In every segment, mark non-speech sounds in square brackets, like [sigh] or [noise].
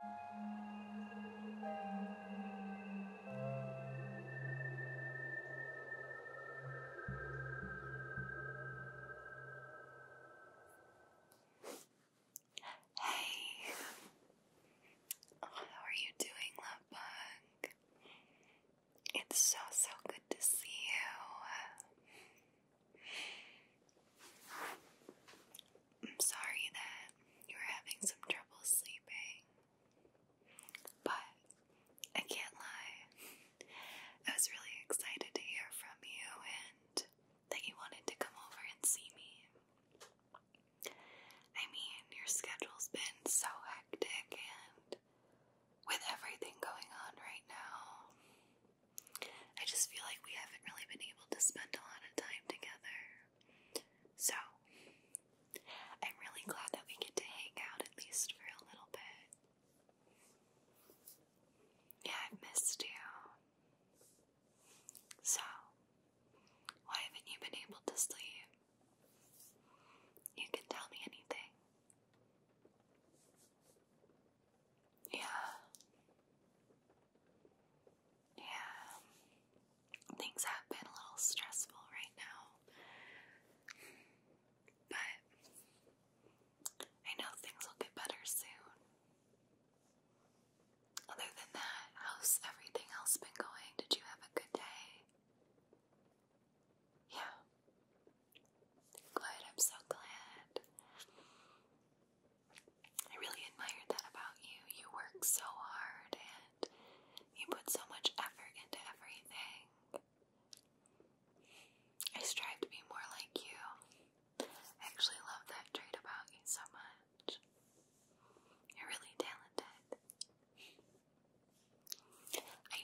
Hey, how are you doing, love It's so so good to see you. I'm sorry that you are having some trouble sleeping, but I can't lie. I was really excited to hear from you and that you wanted to come over and see me. I mean, your schedule's been so hectic, and with everything going on right now, I just feel like we haven't really been able to spend a lot of time together. So, I'm really glad that we get to hang out at least for a little bit. Yeah, I've missed you. So, why haven't you been able to sleep? You can tell me anything. Yeah. Yeah. Things have been a little stressful right now. But I know things will get better soon. Other than that, how's everything else been going? Did you have a good day? Yeah. Good, I'm so glad. I really admired that about you. You work so hard and you put so much effort into everything. I strive to be more like you. I actually love that trait about you so much. You're really talented. I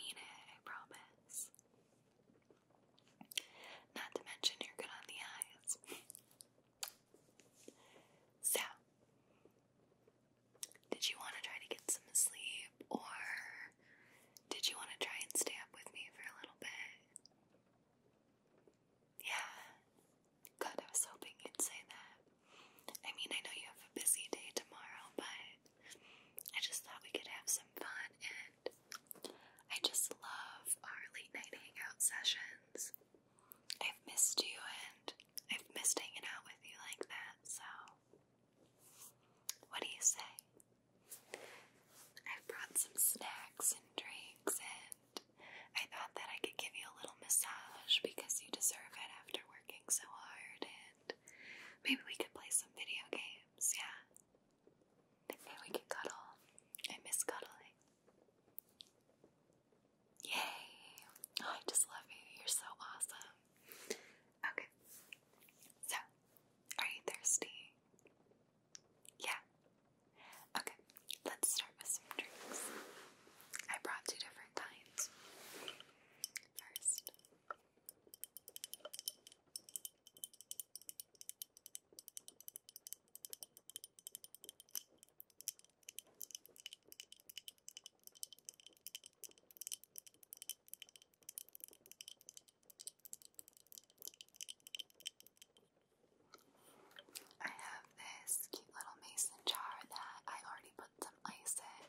mean it, I promise. Not to mention you're good on the eyes. So, did you want to try to get some sleep, or did you want to try and stay up with me for a little bit? Yeah. God, I was hoping you'd say that. I mean, I know you have a busy day tomorrow, but I just thought we could have some fun, and I just love our late night hangout sessions. I've missed you and I've missed hanging out with you like that, so what do you say? I've brought some snacks and drinks, and I thought that I could give you a little massage because you deserve it after working so hard, and maybe we could play some video games, yeah? Maybe we could cuddle. I miss cuddling. Yay! I just love you. You're so awesome. Okay. So, are you thirsty? Yeah. Okay, let's start with some drinks. I brought two different kinds. First, I have this cute little mason jar that I already put some ice in.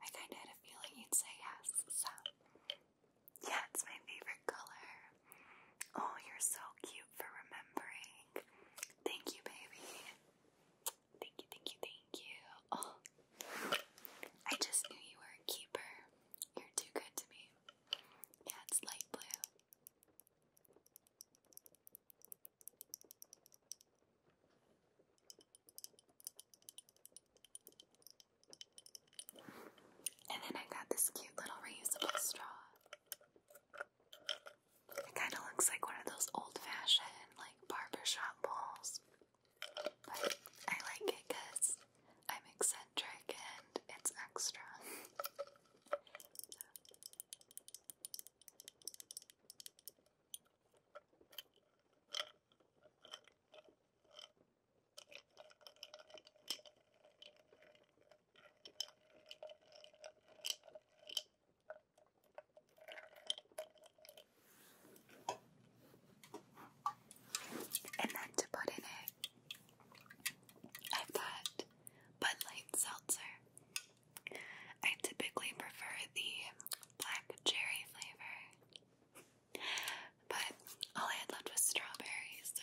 I kind of had a feeling you'd say yes, so yeah, it's my favorite color. Oh, you're so cute for remembering. Thank you, baby. Thank you, thank you, thank you. Oh, I just knew you were a keeper. You're too good to me. Yeah, it's light blue. And then I got this cute little reusable straw. It kind of looks like one of those old-fashioned, like, barbershop bowls. But I like it because I'm eccentric and it's extra. And then to put in it, i got Bud Light Seltzer. I typically prefer the black cherry flavor, but all I had left was strawberries, so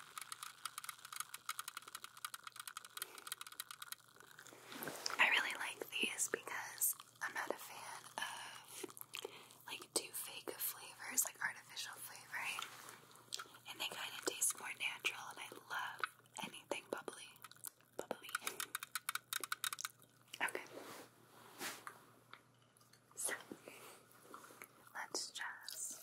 I really like these because I'm not a fan of like too fake flavors, like artificial flavoring. And they kind of taste more natural, and I love anything bubbly. Bubbly. Okay. So, let's just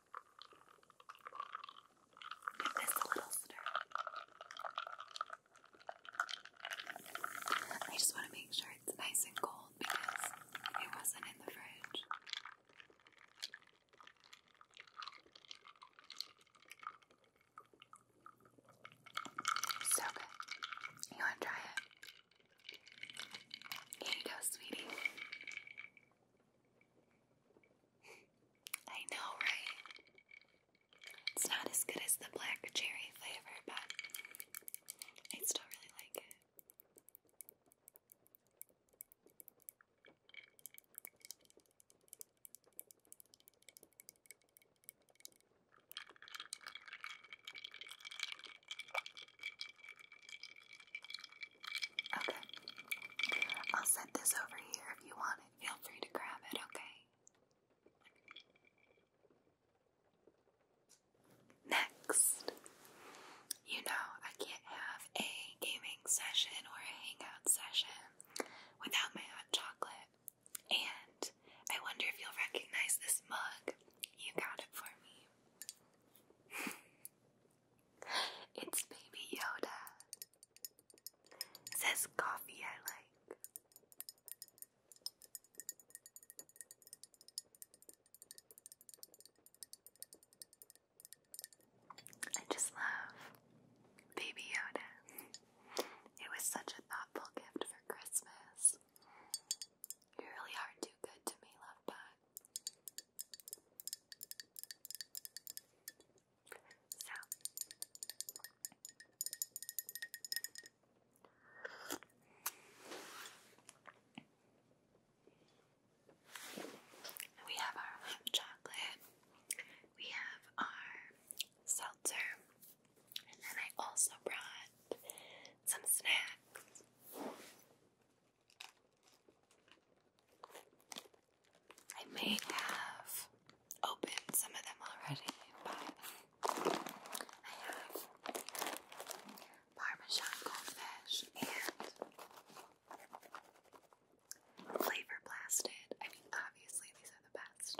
Give this a little stir. I just want to make sure it's nice and cold because it wasn't in the fridge. So good. You want to try it? Here you go, sweetie. I know, right? It's not as good as the black cherry flavor, but I still really like it. Okay. I'll set this over here if you want it. Feel free to grab it, okay? Next. You know, I can't have a gaming session or a hangout session without my hot chocolate. And I wonder if you'll recognize this mug. You got it for me. [laughs] It's Baby Yoda. says coffee I like. I just love Baby Yoda. It was such a thoughtful gift for Christmas. You really are too good to me, love bug. So we have our hot chocolate, we have our seltzer, and then I also brought some snacks. I may have opened some of them already, but Parmesan goldfish and flavor blasted. I mean, obviously, these are the best,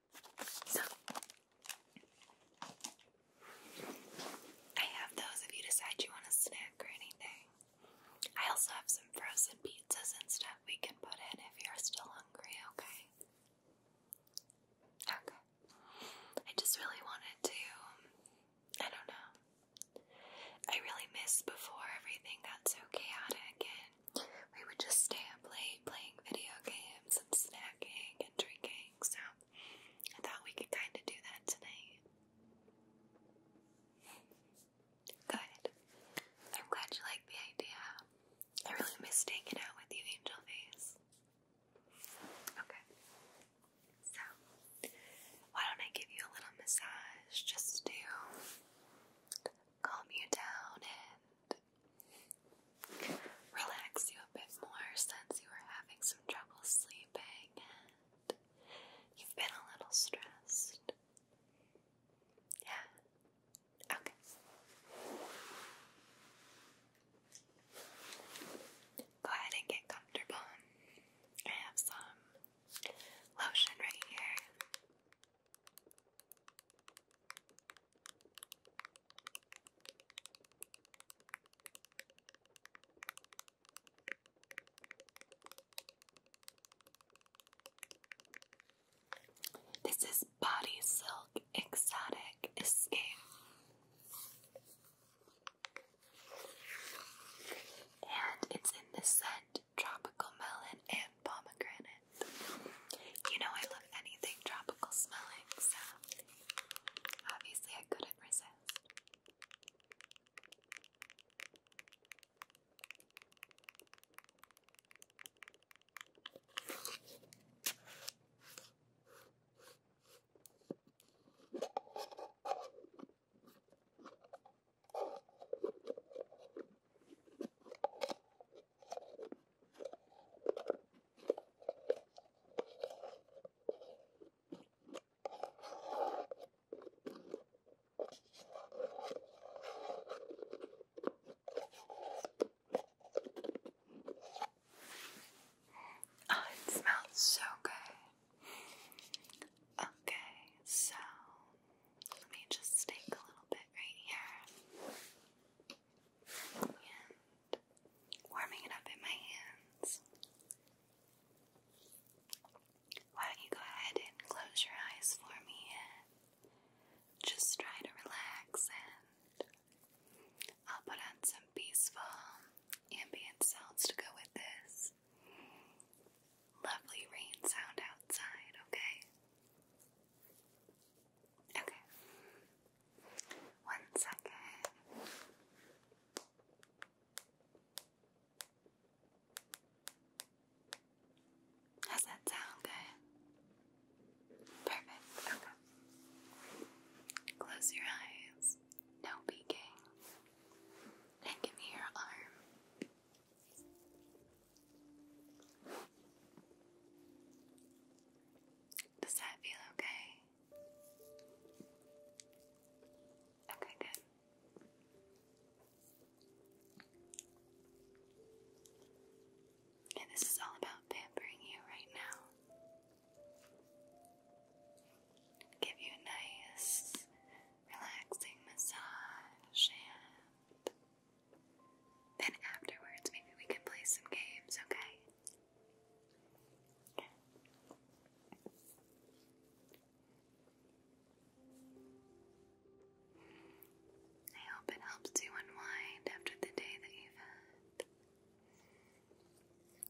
So, I have those if you decide you want a snack or anything. I also have some frozen pizzas and stuff we can put in if you're still hungry, okay? Okay. I just really wanted to, I don't know. I really miss before everything got so chaotic and we would just stay up late playing video games and snacking and drinking, so I thought we could kind of do that tonight. Good. I'm glad you like the idea. I really missed hanging out with you, Angel Face. Okay. So, why don't I give you a little massage just to calm you down and relax you a bit more since you were having some trouble sleeping and you've been a little stressed. Yeah. Okay. Go ahead and get comfortable. I have some lotion right here. This is Body Silk Exotic Escape. And it's in the scent Tropical Melon and Pomegranate. You know, I love anything tropical smelling, so Obviously, I couldn't resist. Oh, it smells so good. Okay, so let me just take a little bit right here and warming it up in my hands. Why don't you go ahead and close your eyes for me and just try to relax and I'll put on some peaceful ambient sounds to go with this lovely rain sound outside, okay? Okay. One second. How's that sound? Good. Perfect. Okay. Close your eyes. No peeking. And give me your arm. Does that feel okay? Okay, good. And this is all about pampering you right now. Give you a nice, relaxing massage, then afterwards, maybe we can play some games, okay? I hope it helps you unwind after the day that you've had.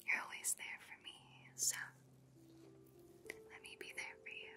You're always there for me, so let me be there for you.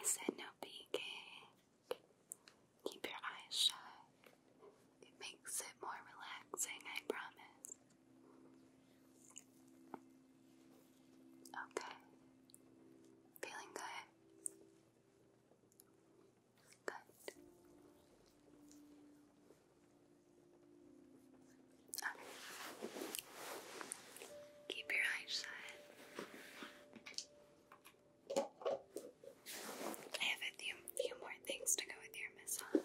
I said no peeking. Keep your eyes shut. It makes it more relaxing, I promise. Okay. Feeling good? Good. Keep your eyes shut. I have a few, few more things to go with your massage.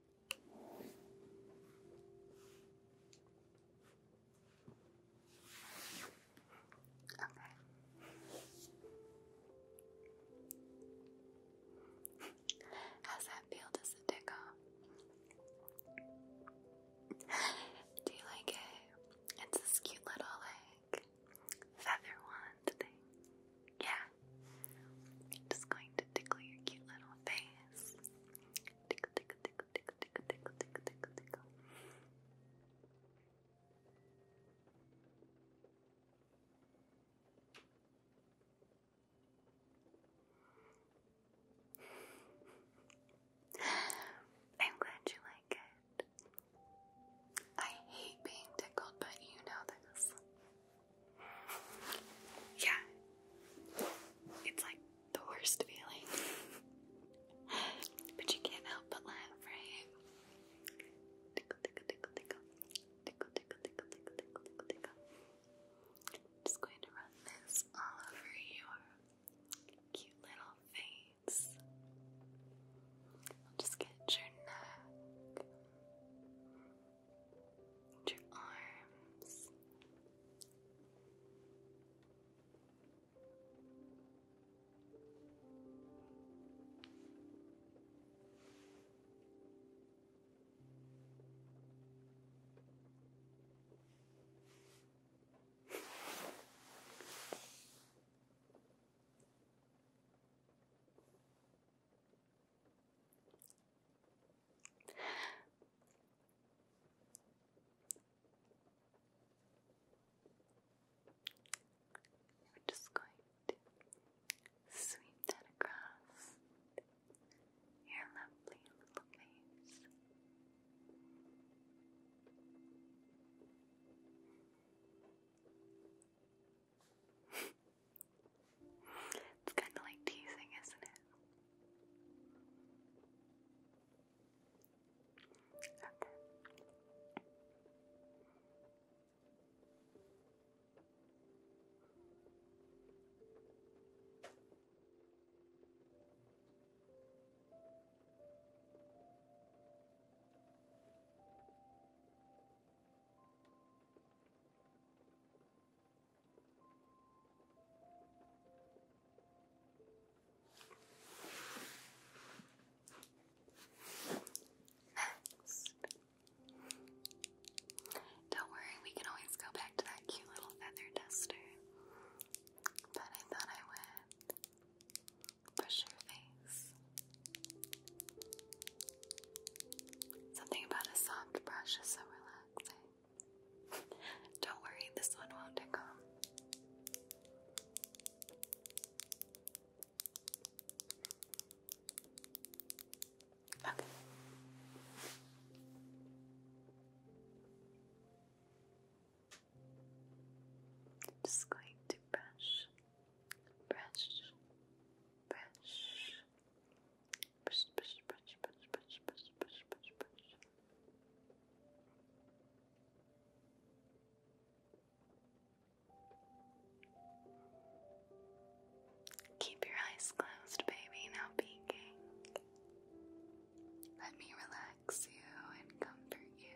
How's that feel? Does it tick Do you like it? It's this cute little like feather wand thing. Yeah. Just going to tickle your cute little face. Tickle, tickle, tickle, tickle, tickle, tickle, tickle, tickle, tickle. I'm glad you like it. I hate being tickled, but you know this. Yeah. It's like the worst feeling. [laughs] but you can't help but laugh, right? Tickle, tickle, tickle, tickle. Tickle, tickle, tickle, tickle, tickle, tickle, tickle. Just going to run this all over your cute little face. just get your neck and your arms. We're just going to sweep that across your lovely little face. [laughs] It's kind of like teasing, isn't it? Okay. Okay. Don't worry, we can always go back to that cute little feather duster. But I thought I would brush your face. Something about a soft brush is so relaxing. [laughs] Don't worry, this one won't tickle. Just going to brush, brush, brush, Keep your eyes closed, baby, now peeking. Let me relax you and comfort you.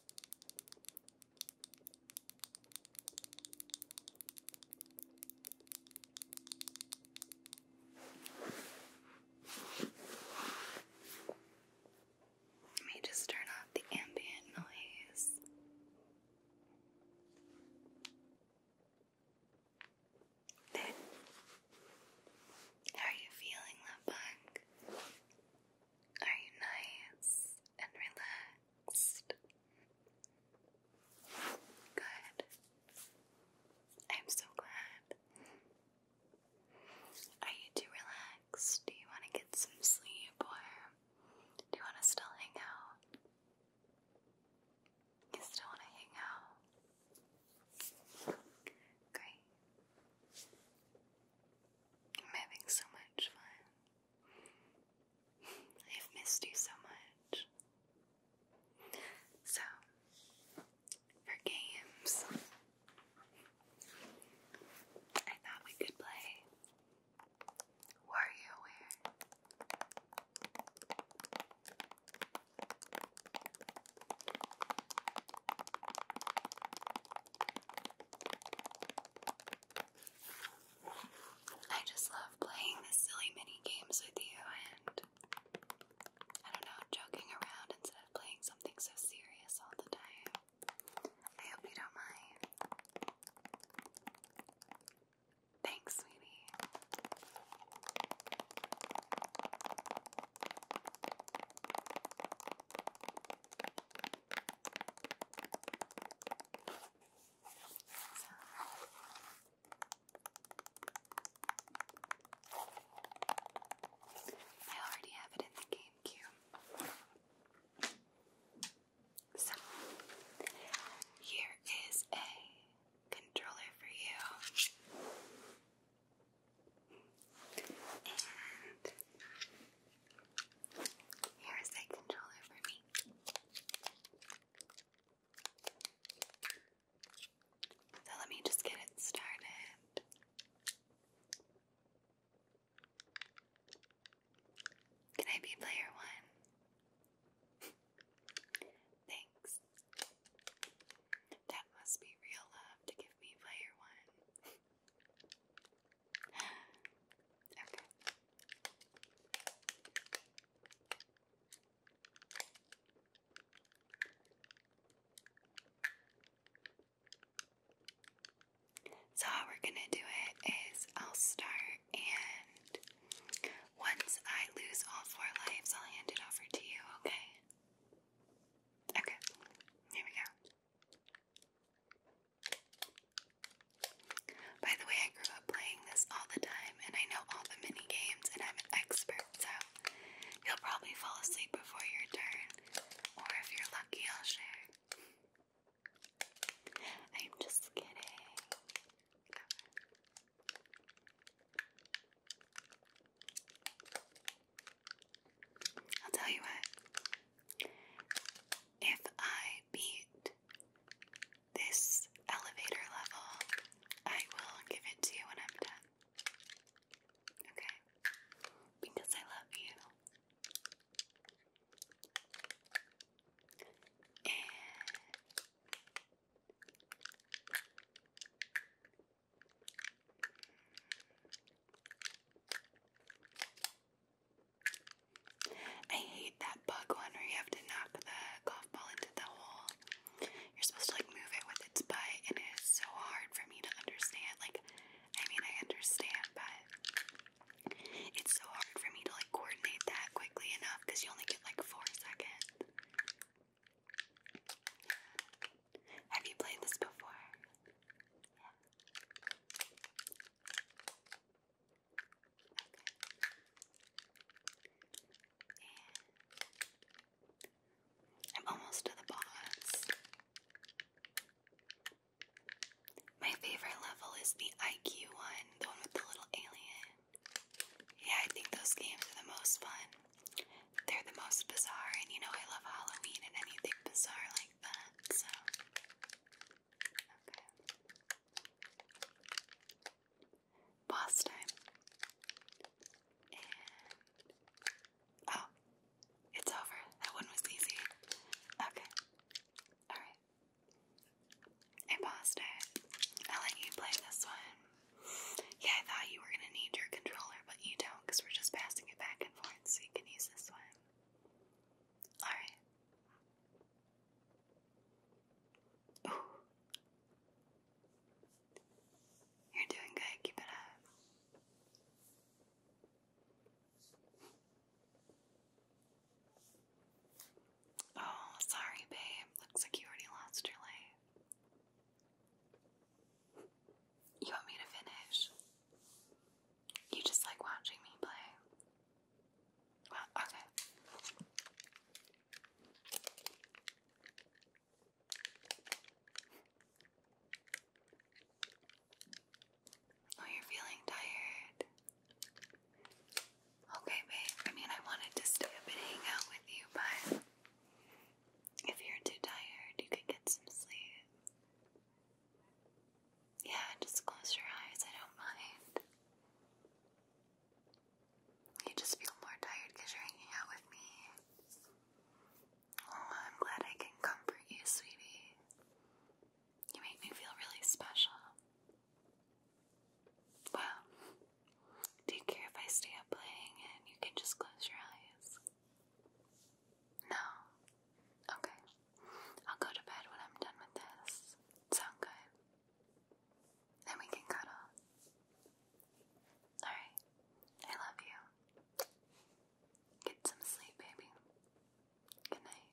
Let me just turn off the ambient noise. There. are you feeling, love bug? Are you nice and relaxed? Good. I'm so glad. Are you too relaxed? Do you want to get some sleep or do you want to still hang out? You still want to hang out? Great. I'm having so much fun. [laughs] I've missed you so much. So, for games, I thought we could play WarioWare. I just love playing these silly mini games with you and I don't know, joking around instead of playing something so serious all the time. I hope you don't mind. Thanks, sweetie. I already have it in the GameCube. So, here is a controller for you. And here's that controller for me. So let me just get it started. Can I be player one? Thanks. That must be real love to give me player one okay. So, how we're gonna do it is I'll start, and once I lose all four lives, I'll hand it over to you, okay? Okay, here we go. By the way, I grew up playing this all the time and I know all the mini games and I'm an expert, so you'll probably fall asleep before your turn. Or if you're lucky, I'll share. I'm just kidding. I'll tell you what. If I beat this elevator level, I will give it to you when I'm done. Okay? Because I love you. I hate that bug one where you have to knock the golf ball into the hole. You're supposed to like move it with its butt, and it is so hard for me to understand. Like, I mean, I understand, but it's so hard for me to like coordinate that quickly enough because you only get like four seconds. Have you played this before? Yeah. Okay. I'm almost to the boss. My favorite level is the IQ one, the one with the little alien. Yeah, I think those games are the most fun. They're the most bizarre, and you know I love Halloween and anything bizarre like that, so okay. Boss time. And oh, it's over. That one was easy. Okay. Alright. I paused it. I'll let you play this one. Yeah, I thought you were gonna need your controller, but you don't because we're just passing it back and forth so you can use this one. Alright. You're doing good, keep it up. Oh, sorry, babe. Looks like you already lost your life. You want me to finish? You just like watching me play? okay. Oh, you're feeling tired. Okay, babe. I mean, I wanted to stay up and hang out with you, but if you're too tired, you could get some sleep. Yeah, just close your eyes, I don't mind. You just feel more tired because you're hanging out with me. Oh, I'm glad I can comfort you, sweetie. You make me feel really special. Well, do care if I stay up playing and you can just close your eyes? No? Okay. I'll go to bed when I'm done with this. Sound good? Then we can cuddle. Alright. I love you. Get some sleep, baby. Good night.